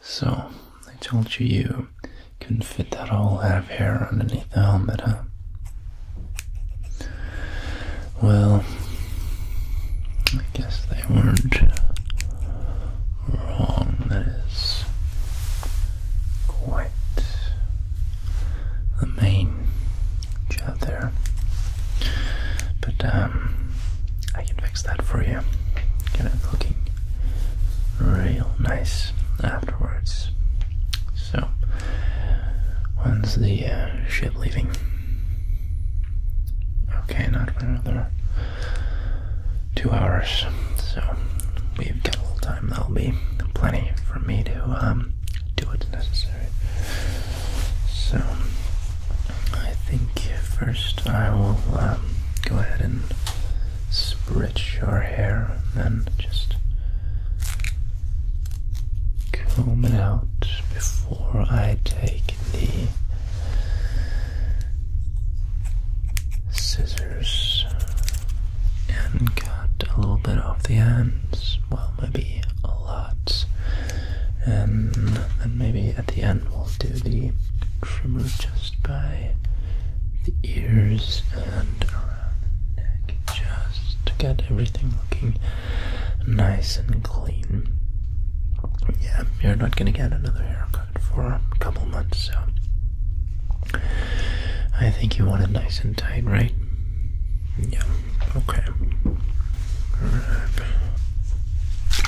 So, I told you you couldn't fit that whole head of hair underneath the helmet, huh? Well, I guess they weren't wrong. That is quite the main job there. But, um, I can fix that for you. Get it looking real nice afterwards. So, when's the uh, ship leaving? Okay, not for another two hours. So, we've got a little time. That'll be plenty for me to um, do what's necessary. So, I think first I will um, go ahead and spritz your hair and then just comb it out before I take the scissors and cut a little bit off the ends. Well, maybe a lot. And then maybe at the end we'll do the trimmer just by the ears and around the neck, just to get everything looking nice and clean. Yeah, you're not going to get another haircut for a couple months, so I think you want it nice and tight, right? Yeah, okay.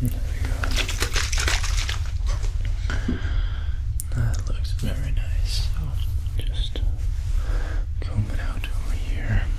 There we go. That looks very nice. So just comb it out over here.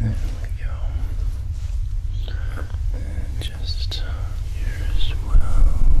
There we go. And just here well.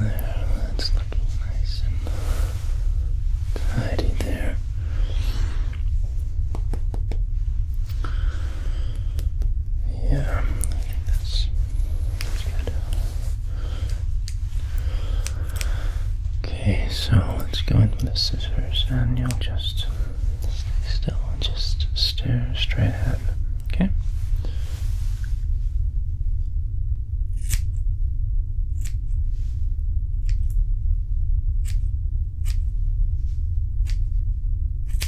There, that's looking nice and tidy there. Yeah, I think that's, that's good. Okay, so let's go in with the scissors and you'll just stay still and just stare straight ahead. Okay?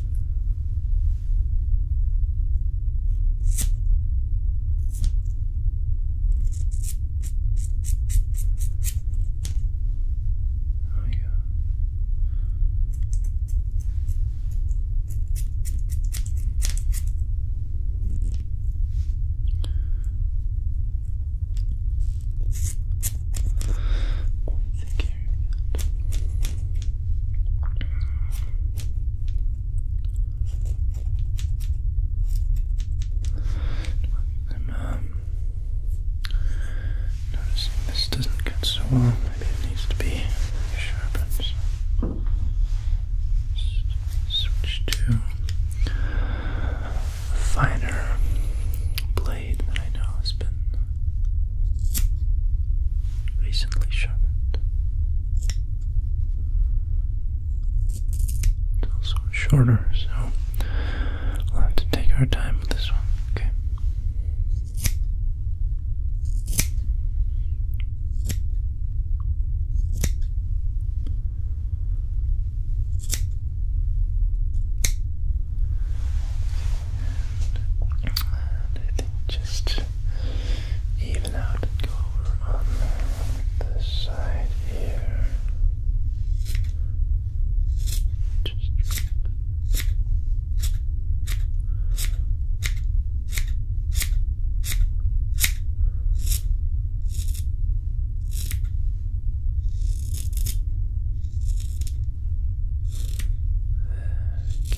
Oh, yeah. Thank you. I'm um, noticing this doesn't cut so well. Maybe it needs to be sharpened. switch to a finer blade that I know has been recently sharpened. It's also shorter, so we'll have to take our time with this one. Okay. And I think just even out and go on this side here. Just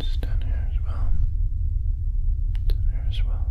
It's down here as well. Down here as well.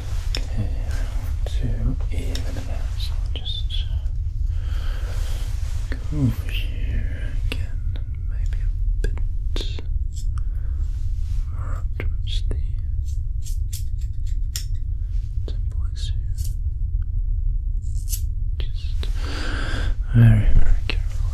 I want to even it out, so I'll just go over here again, maybe a bit more up towards the temples here. Just very, very carefully.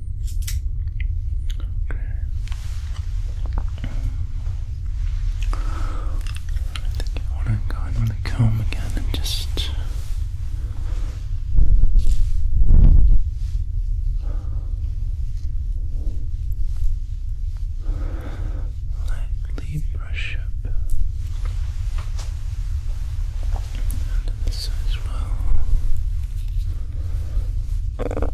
Okay. I think I want to go and comb again and just. Lightly brush up this side as well.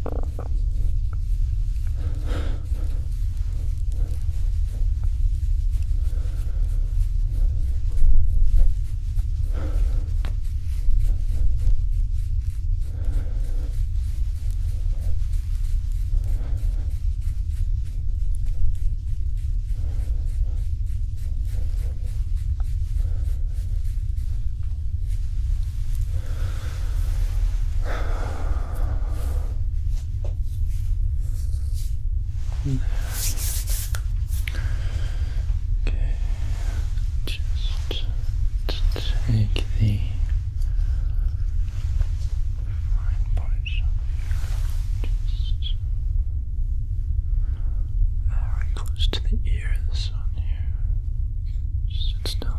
Okay, just take the right parts just Alright, close to the ears on here. Just sit still.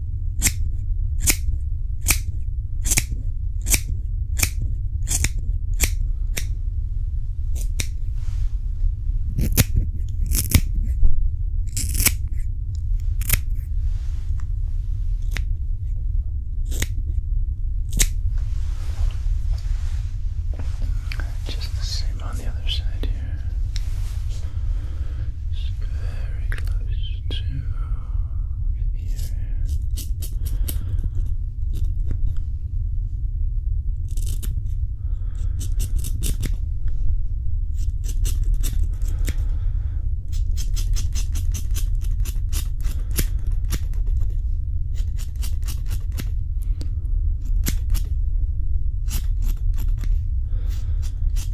Just the same on the other side here. It's very close to the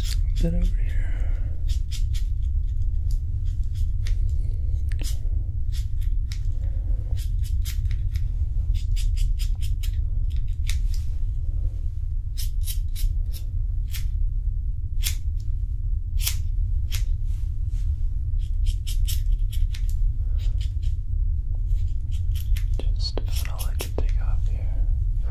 Just a bit over here. Just just about all I can take off here for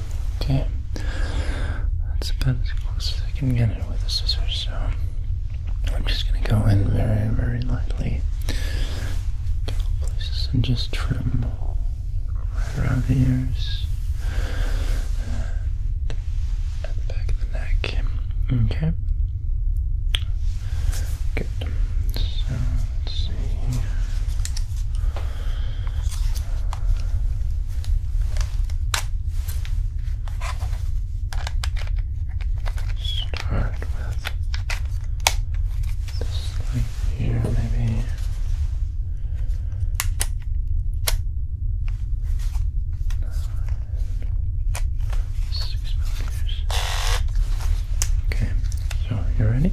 Okay. That's about as close as I can get it with a scissors, so I'm just gonna go in very, very lightly places and just trim right around the ears uh, at the back of the neck. Okay. Good. So let's see. Start with this light here, maybe. Six millimeters. Okay, so you ready?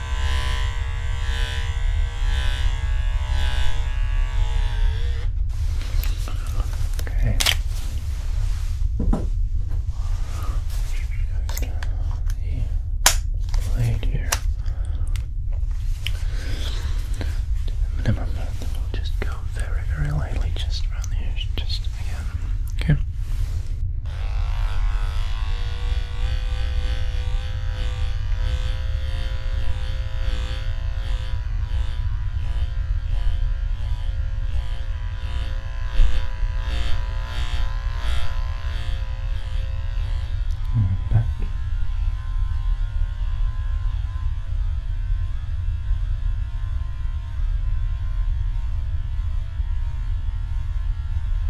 Okay. Just the blade here. To the we'll just go very, very lightly just around the edge, just again. Okay. And back.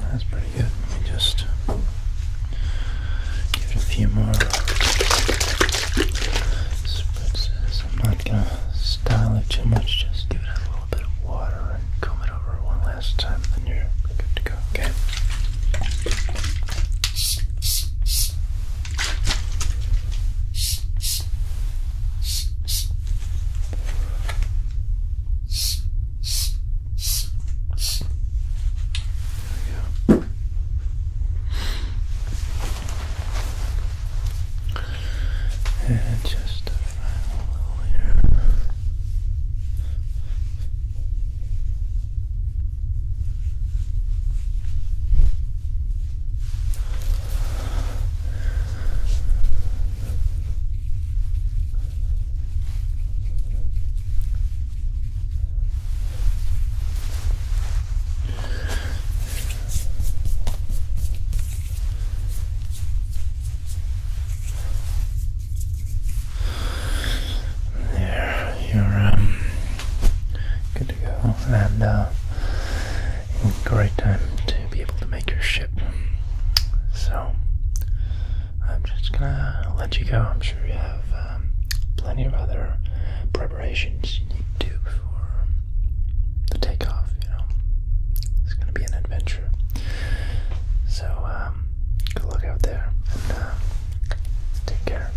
That's pretty good. Let me just give it a few more spritzes. I'm not gonna style it too much, just give it a little bit of water and comb it over one last time, then you're good to go, okay? There we go. And just a final little here. There, you're um, good to go, and uh, great time to be able to make your ship. So, I'm just gonna let you go. I'm sure you have um, plenty of other preparations you need to do before the takeoff, you know. It's gonna be an adventure. So, um, good luck out there and uh, take care.